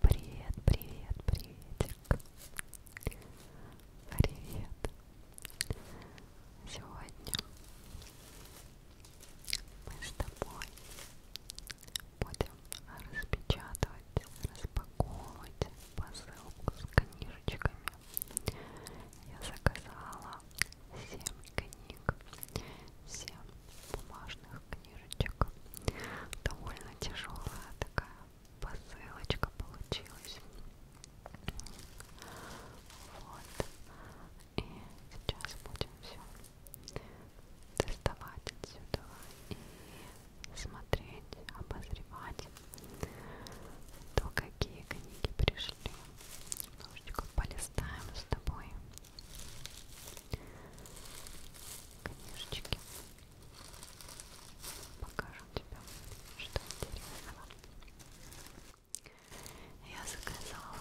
Привет, привет, приветик. Привет. Сегодня мы с тобой будем распечатывать, распаковывать посылку с книжечками. Я заказала 7 книг, 7 бумажных книжечек. Довольно тяжелая такая посылочка получилась. Вот. И сейчас будем все доставать отсюда и смотреть, обозревать, то какие книги пришли. Немножечко полистаем с тобой книжечки покажу тебе, что интересного я заказала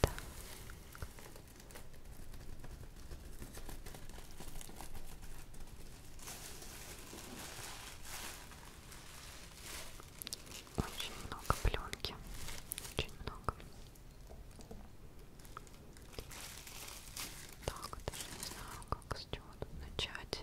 так. Очень много пленки, очень много. Так, даже не знаю, как с чего тут начать.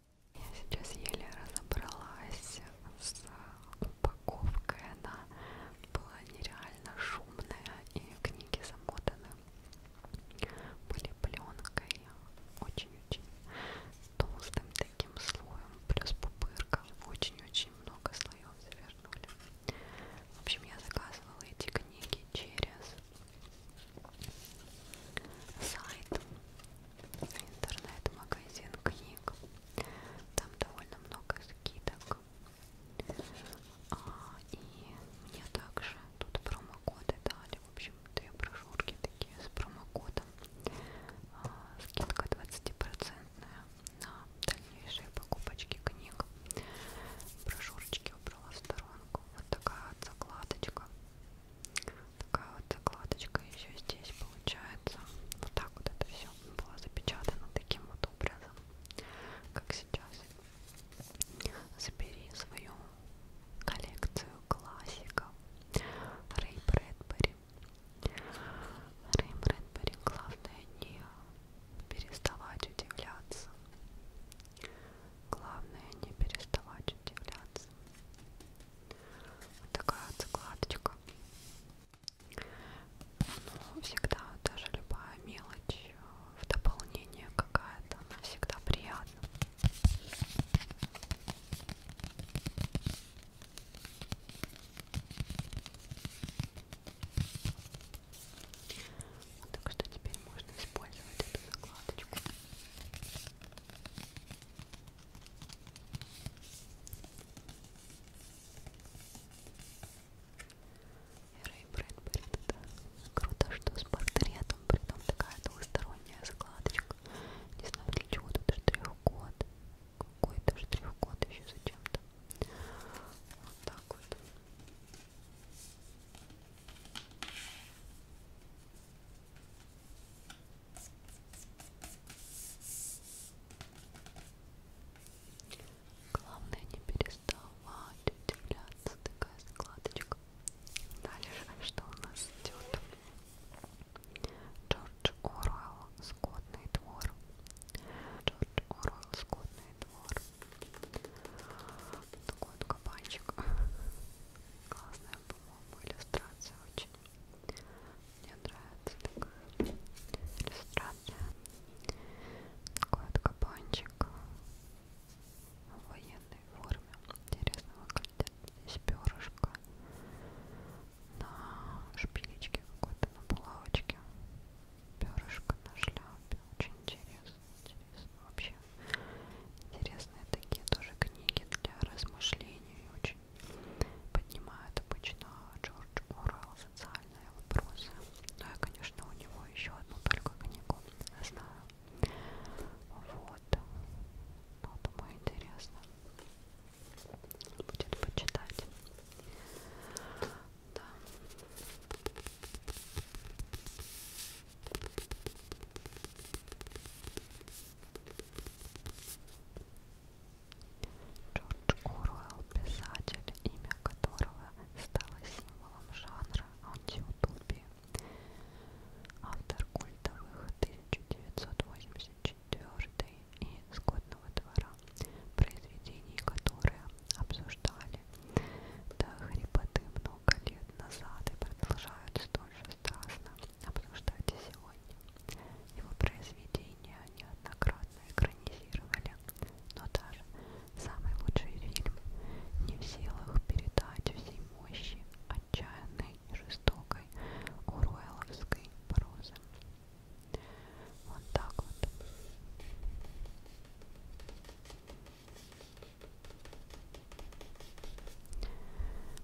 Я сейчас еле разобралась с упаковкой. Она была нереально шумная, и книги замотаны были пленкой очень-очень толстым таким слоем, плюс пупырка. Очень-очень много слоев завернули. В общем, я заказывала эти книги через сайт интернет-магазин книг. Там довольно много скидок. А, и мне также тут промокоды дали. В общем, две брошюрки такие с промокодом. А, скидка 20% на дальнейшие покупочки книг. Брошюрочки убрала в сторонку. Вот такая вот закладочка такая вот закладочка еще здесь получается. Вот так вот это все было запечатано таким вот образом, как сейчас. Забери свою коллекцию классиков Рэй Брэдбери. Рэй Брэдбери, главное не переставать удивляться. Главное не переставать удивляться. Вот такая вот закладочка. Ну, всегда, даже любая мелочь э, в дополнение какая-то, она всегда приятна. Так что теперь можно использовать эту закладочку. Рэй Брэдбери, да. Круто, что с портретом, при том такая двусторонняя складочка. Не знаю, для чего тут штрих-код. Какой-то штрих-код еще зачем-то. Вот так вот. Главное не переставать удивляться, такая складочка. Дальше что у нас идет? Джордж Оруэлл, скотный двор. Джордж Оруэлл, скотный двор. Такой вот кабанчик. Классная, по-моему, иллюстрация очень. Мне нравится такая иллюстрация. Такой вот кабанчик в военной форме. Интересно выглядит. Здесь перышко на шпилечке какой-то, на булавочке. Перышко на шляпе. Очень интересно. Интересно вообще. Интересные такие тоже книги для размышлений. Очень поднимает обычно Джордж Орел социальные вопросы. Но ну, я, конечно, у него еще одну только книгу знаю. Вот. Ну, думаю, интересно. Будет почитать. Да. Джордж Оруэлл, писатель, имя которого стало символом жанра антиутопии, автор культовых 1984 и «Скотного двора», произведений которые обсуждали до хрипоты много лет назад и продолжают столь же Стаса, обсуждать и сегодня. Его произведения неоднократно экранизировали, но даже самый лучший фильм не в силах передать всей мощи отчаянной и жестокой уруэлловской прозы. Вот так вот.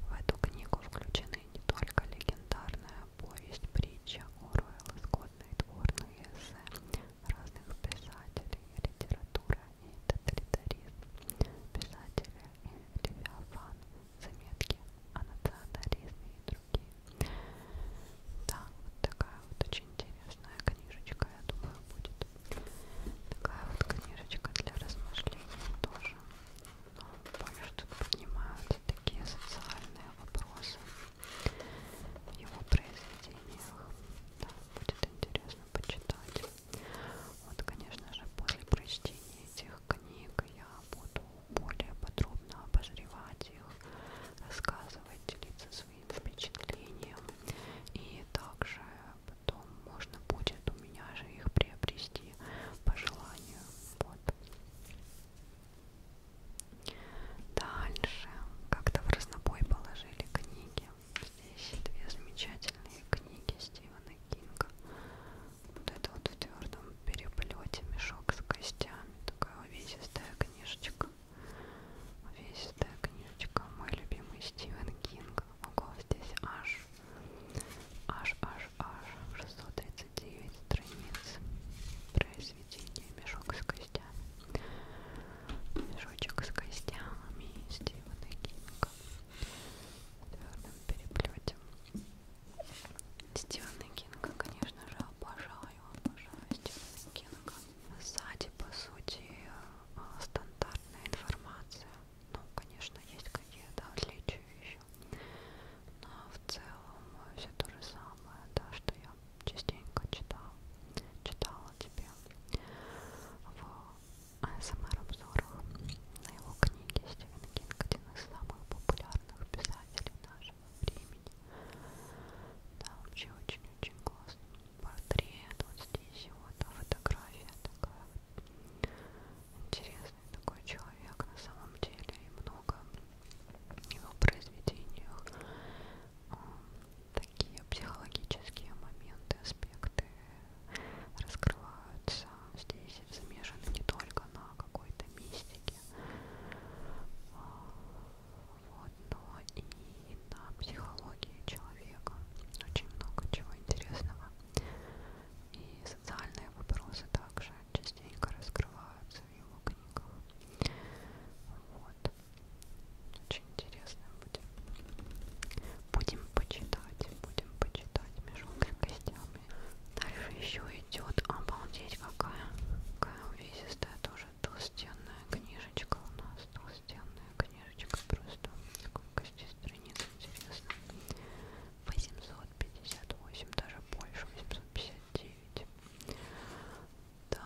В эту книгу включены Книгами не только легендарная повесть, притча Оруэлла, скотные дворные эссе разных писателей, литература и тоталитаризм, писатели и левиафан, заметки о национализме и другие. Да, вот такая вот очень интересная книжечка, я думаю, будет. Такая вот книжечка для размышлений тоже помню, что тут поднимаются такие социальные вопросы в его произведениях. Да, будет интересно почитать. Вот, конечно же, после прочтения этих книг я буду более подробно обозревать их, рассказывать, делиться своим впечатлением. И также потом можно будет у меня же их приобрести куски по желанию. Вот. Дальше как-то в разнобой положили книги. Здесь две замечательные книги Стивена Кинга. Вот это вот в твердом переплете мешок с костями. Такая увесистая книжечка. Увесистая книжечка. Мой любимый Стивен Кинг. Ого, здесь аж аж аж аж 639 страниц произведения «Мешок с костями». «Мешочек с костями» Стивена Кинга в твердом переплете. Стивена Кинга, конечно же, обожаю, обожаю Стивена Кинга. Сзади, по сути, э, стандартная информация ну, конечно, есть какие-то отличия еще. Но в целом э, все то же самое, да, что я частенько читала, читала тебе в АСМР-обзорах на его книге Стивен Кинг, один из самых популярных писателей нашего времени. Да, вообще очень-очень классно. Портрет, вот здесь вот фотография такая вот интересная интересный такой человек на самом деле и много в его произведениях эм, такие психологические моменты, аспекты раскрываются здесь замешаны не только на какой-то мистике вот, но и на психологии человека очень много чего интересного и социальные вопросы также частенько раскрываются в его книгах. Вот. Очень интересно будет. Будем почитать, будем почитать мешок с костями. Дальше еще идет обалдеть какая, какая увесистая тоже толстенная книжечка у нас. Толстенная книжечка просто. Сколько здесь страниц интересно. 858, даже больше, 859. Так,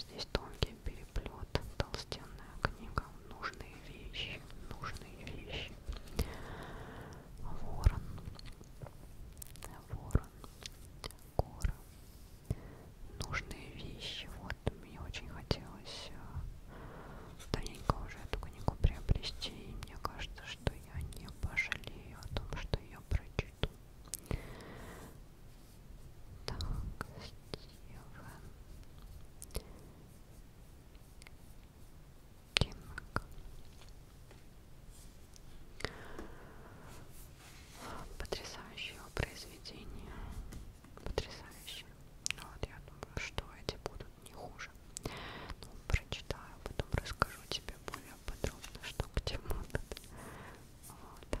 здесь тонкий переплет, толстенная книга, нужные вещи, нужные вещи. Ворон, ворон, гора, нужные вещи. Вот, мне очень хотелось удалось давненько уже эту книгу приобрести, и мне кажется, что я не пожалею о том, что ее прочту. Так, Стивен. Кинг. Потрясающее произведение. Потрясающе. Но ну вот я думаю, что эти будут не хуже. Ну, прочитаю, потом расскажу тебе более подробно, что к чему тут. Вот.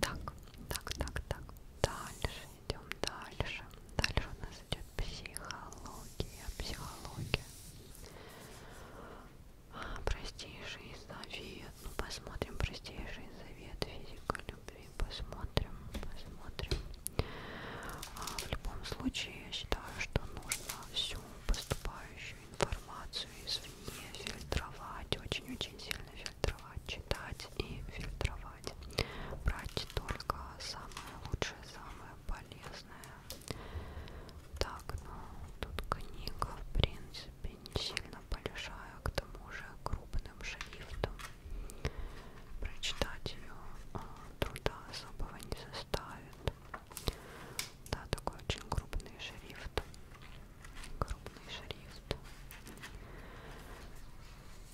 Так, так, так, так. Дальше идем дальше. Дальше у нас идет психология, психология. А, простейший завет. Ну посмотрим простейший завет физика Регби. Посмотрим, посмотрим. А в любом случае, я считаю, что нужно всю поступающую информацию извне фильтровать, очень-очень сильно фильтровать, читать и фильтровать. Брать только самое лучшее, самое полезное. Так, ну, тут книга, в принципе, сильно большая, к тому же крупным шрифтом. Прочитать ее а, труда особого не составит. Да, такой очень крупный шрифт. Крупный шрифт.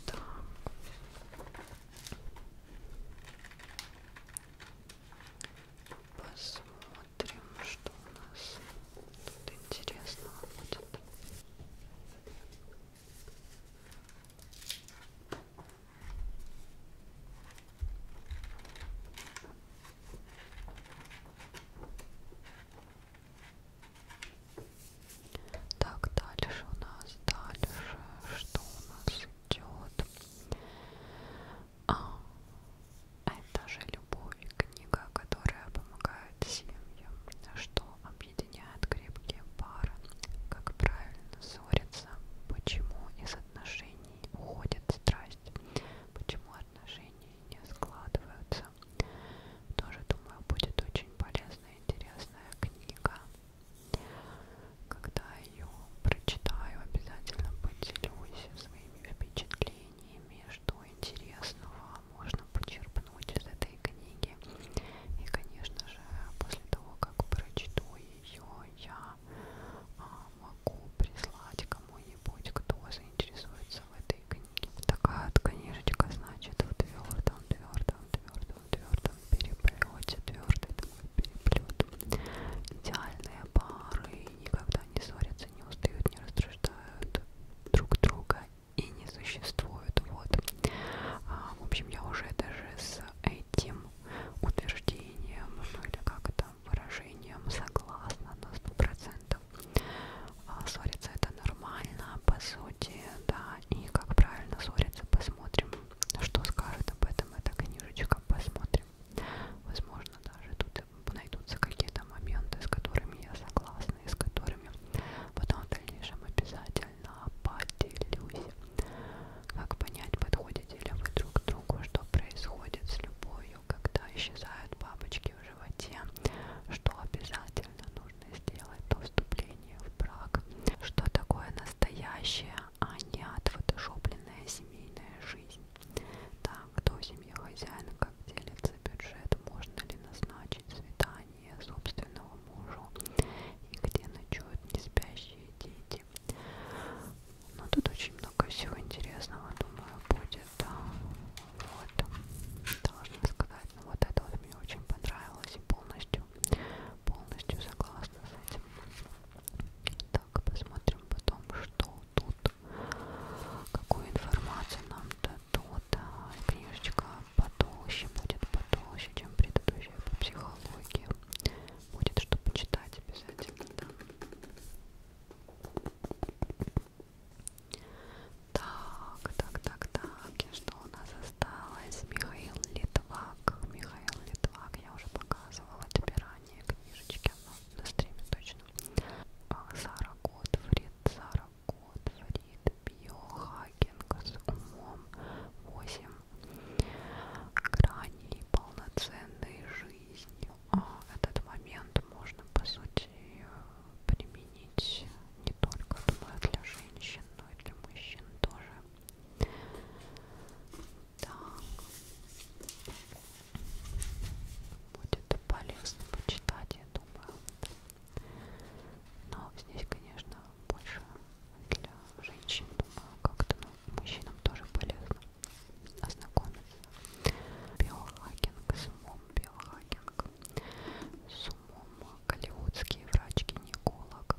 Так. Посмотрим, что у нас тут интересного будет. Так, дальше у нас, дальше, что у нас идет? А, это желе любовь, книга, которая помогает семьям, что объединяет крепкие пары, как правильно ссориться, почему из отношений уходит страсть, почему отношения не складываются. Тоже, думаю, будет очень полезная и интересная книга. Когда ее прочитаю, обязательно поделюсь своими впечатлениями, что интересного можно почерпнуть из этой книги. И, конечно же, после того, как прочту ее, я а, могу прислать кому-нибудь, кто заинтересуется в этой книге. Такая вот книжечка, значит, в твердом, твердом, твердом, твердом переплете, твердый такой переплет. Идеальные пары никогда не ссорятся, не устают, не раздражают друг друга и не существует. Вот. А, в общем, я уже даже с этим утверждением, ну или как это, выражением согласна на сто процентов. А, ссориться это нормально, по сути, да, и как правильно ссориться, посмотрим, что скажет об этом эта книжечка, посмотрим. Возможно, даже тут найдутся какие-то моменты, с которыми я согласна, и с которыми вовремя. Потом в дальнейшем обязательно поделюсь. Как понять, подходите ли вы друг к другу, что происходит с любовью, когда исчезают бабочки в животе, что обязательно нужно сделать до вступления в брак, что такое настоящее, а не отфотошопленная семейная жизнь. Так, кто в семье хозяин, как делится бюджет, можно ли назначить ночи свидания собственного мужа и где ночуют неспящие дети. Но ну, тут очень много всего интересного, думаю, будет. Вот, должна сказать, но ну, вот это вот мне очень понравилось и полностью, полностью согласна с этим. Так, посмотрим потом, что тут, какую информацию нам дают то-то. А, книжечка потолще будет, потолще, чем предыдущая по психологии. Будет что почитать обязательно, да. Так, так, так, так. И что у нас осталось? Михаил Литвак. Михаил Литвак. Я уже показывала тебе ранее книжечки, но на стриме точно. А, Сара Готфрид. Сара Готфрид Биохакинг с умом 8 граней полноценной жизни. А этот момент можно по сути применить не только думаю, для женщин, но и для мужчин тоже. Так. Будет полезно почитать, я думаю. Но здесь, конечно, больше для женщин, думаю, как-то ну, мужчинам тоже полезно ознакомиться. Биохакинг, с умом биохакинг, с умом голливудский врач-гинеколог,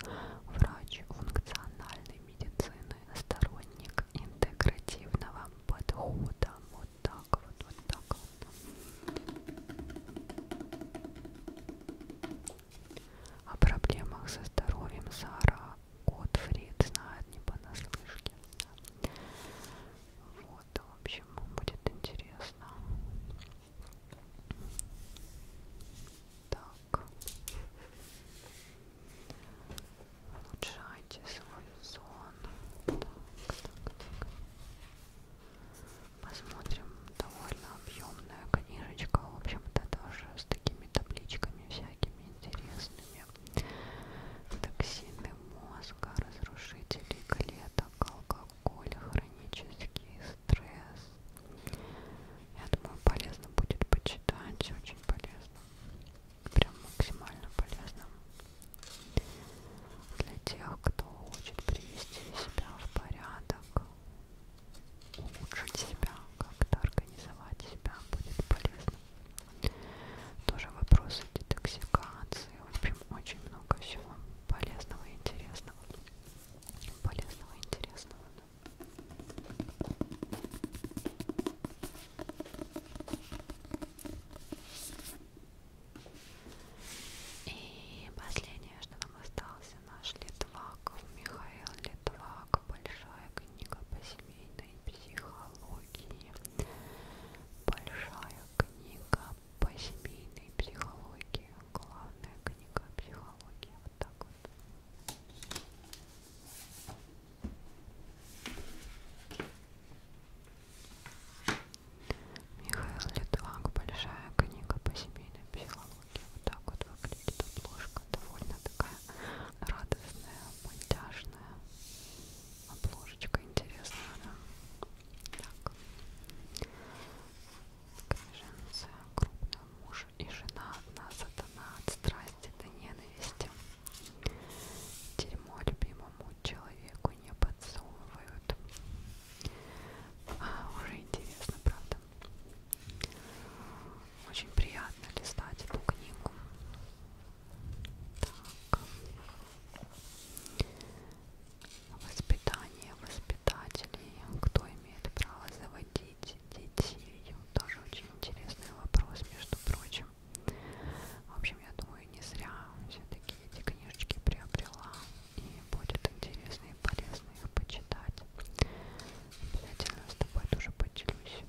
врач функциональной медицины, сторонник интегративного подхода вот так вот, вот так вот. О проблемах со здоровьем Сара Готфрид знает не понаслышке. Вот, в общем, будет интересно. Так. Улучшайте свой сон. Так, так, так. Посмотрим, довольно объемная книжечка, в общем-то, тоже с такими табличками всякими интересными. Токсины мозга, разрушители клеток, алкоголь, хронический стресс. Я думаю, полезно будет почитать, очень полезно. Прям максимально полезно для тех, кто хочет привести себя в порядок, улучшить себя, как-то организовать себя будет полезно. Тоже вопросы детоксикации, в общем, очень много всего полезного и интересного. Полезного и интересного. Да. И последнее, что нам осталось, наш Литвак, Михаил Литвак, большая книга по семейной психологии, большая книга по семейной психологии, главная книга психологии, вот так вот. Михаил Литвак, большая книга по семейной психологии. Вот так вот выглядит обложка. Довольно такая радостная, мультяшная обложечка. Интересная, да? Так. Книженция крупная муж и жена одна сатана от страсти до ненависти. Дерьмо любимому человеку не подсовывают. А, уже интересно, правда? Очень приятно листать эту книгу. Так. Воспитание воспитателей. Кто имеет право заводить детей? Тоже очень интересный вопрос, между прочим. В общем, я думаю, думаю, не зря все-таки эти книжечки приобрела. И будет интересно и полезно их почитать. Обязательно с тобой тоже поделюсь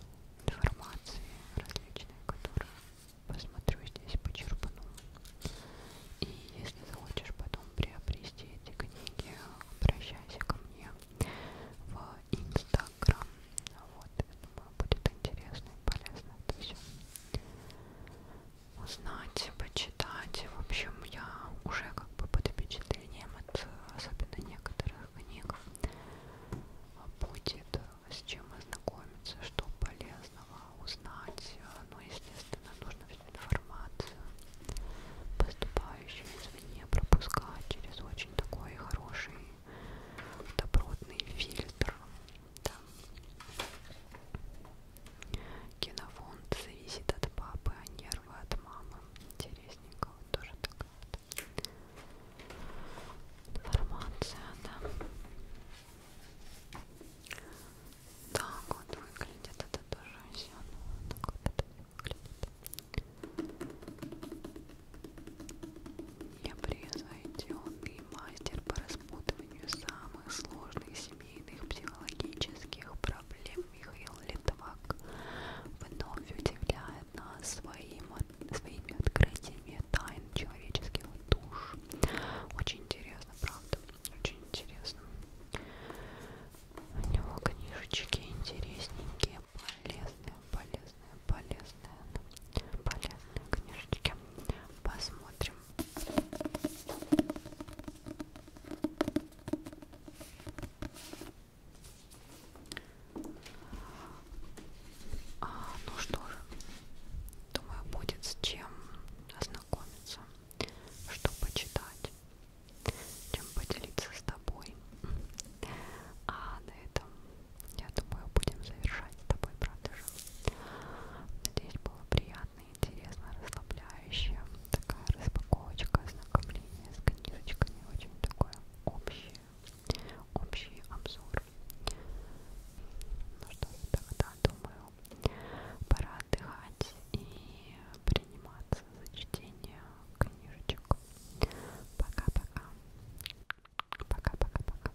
информацией различной, которую посмотрю здесь, почерпну. И если захочешь потом приобрести эти книги, обращайся ко мне в Инстаграм. Вот, я думаю, будет интересно и полезно это все узнать, почитать. В общем, я уже как бы под впечатлением от особенно некоторых книг будет э, с чем ознакомиться, что полезного узнать. Ну, естественно, нужно всю информацию, поступающую извне, пропускать через очень такой хороший добротный фильтр там кинофонд зависит от папы, а нервы от мамы. Интересненько, вот тоже такая вот информация, да. Так вот выглядит, это тоже все. Ну, так вот это выглядит. Я превзойденный мастер по распутыванию самых сложных семейных психологических проблем Михаил Литвак вновь удивляет нас своим, своими открытиями тайн человеческих душ. Очень интересно, правда? Очень интересно. У него книжечки интересненькие, полезные, полезные, полезные, полезные книжечки. Посмотрим, а, ну что же, думаю, будет с чем ознакомиться, что почитать, чем поделиться с тобой. А на этом, я думаю, будем завершать с тобой, правда же? Надеюсь, было приятно, интересно, расслабляюще. Такая распаковочка, ознакомление с книжечками. Очень такой общий, общий обзор. Ну что же, тогда, думаю, пора отдыхать и приниматься за чтение книжечек. Пока-пока. Пока-пока-пока.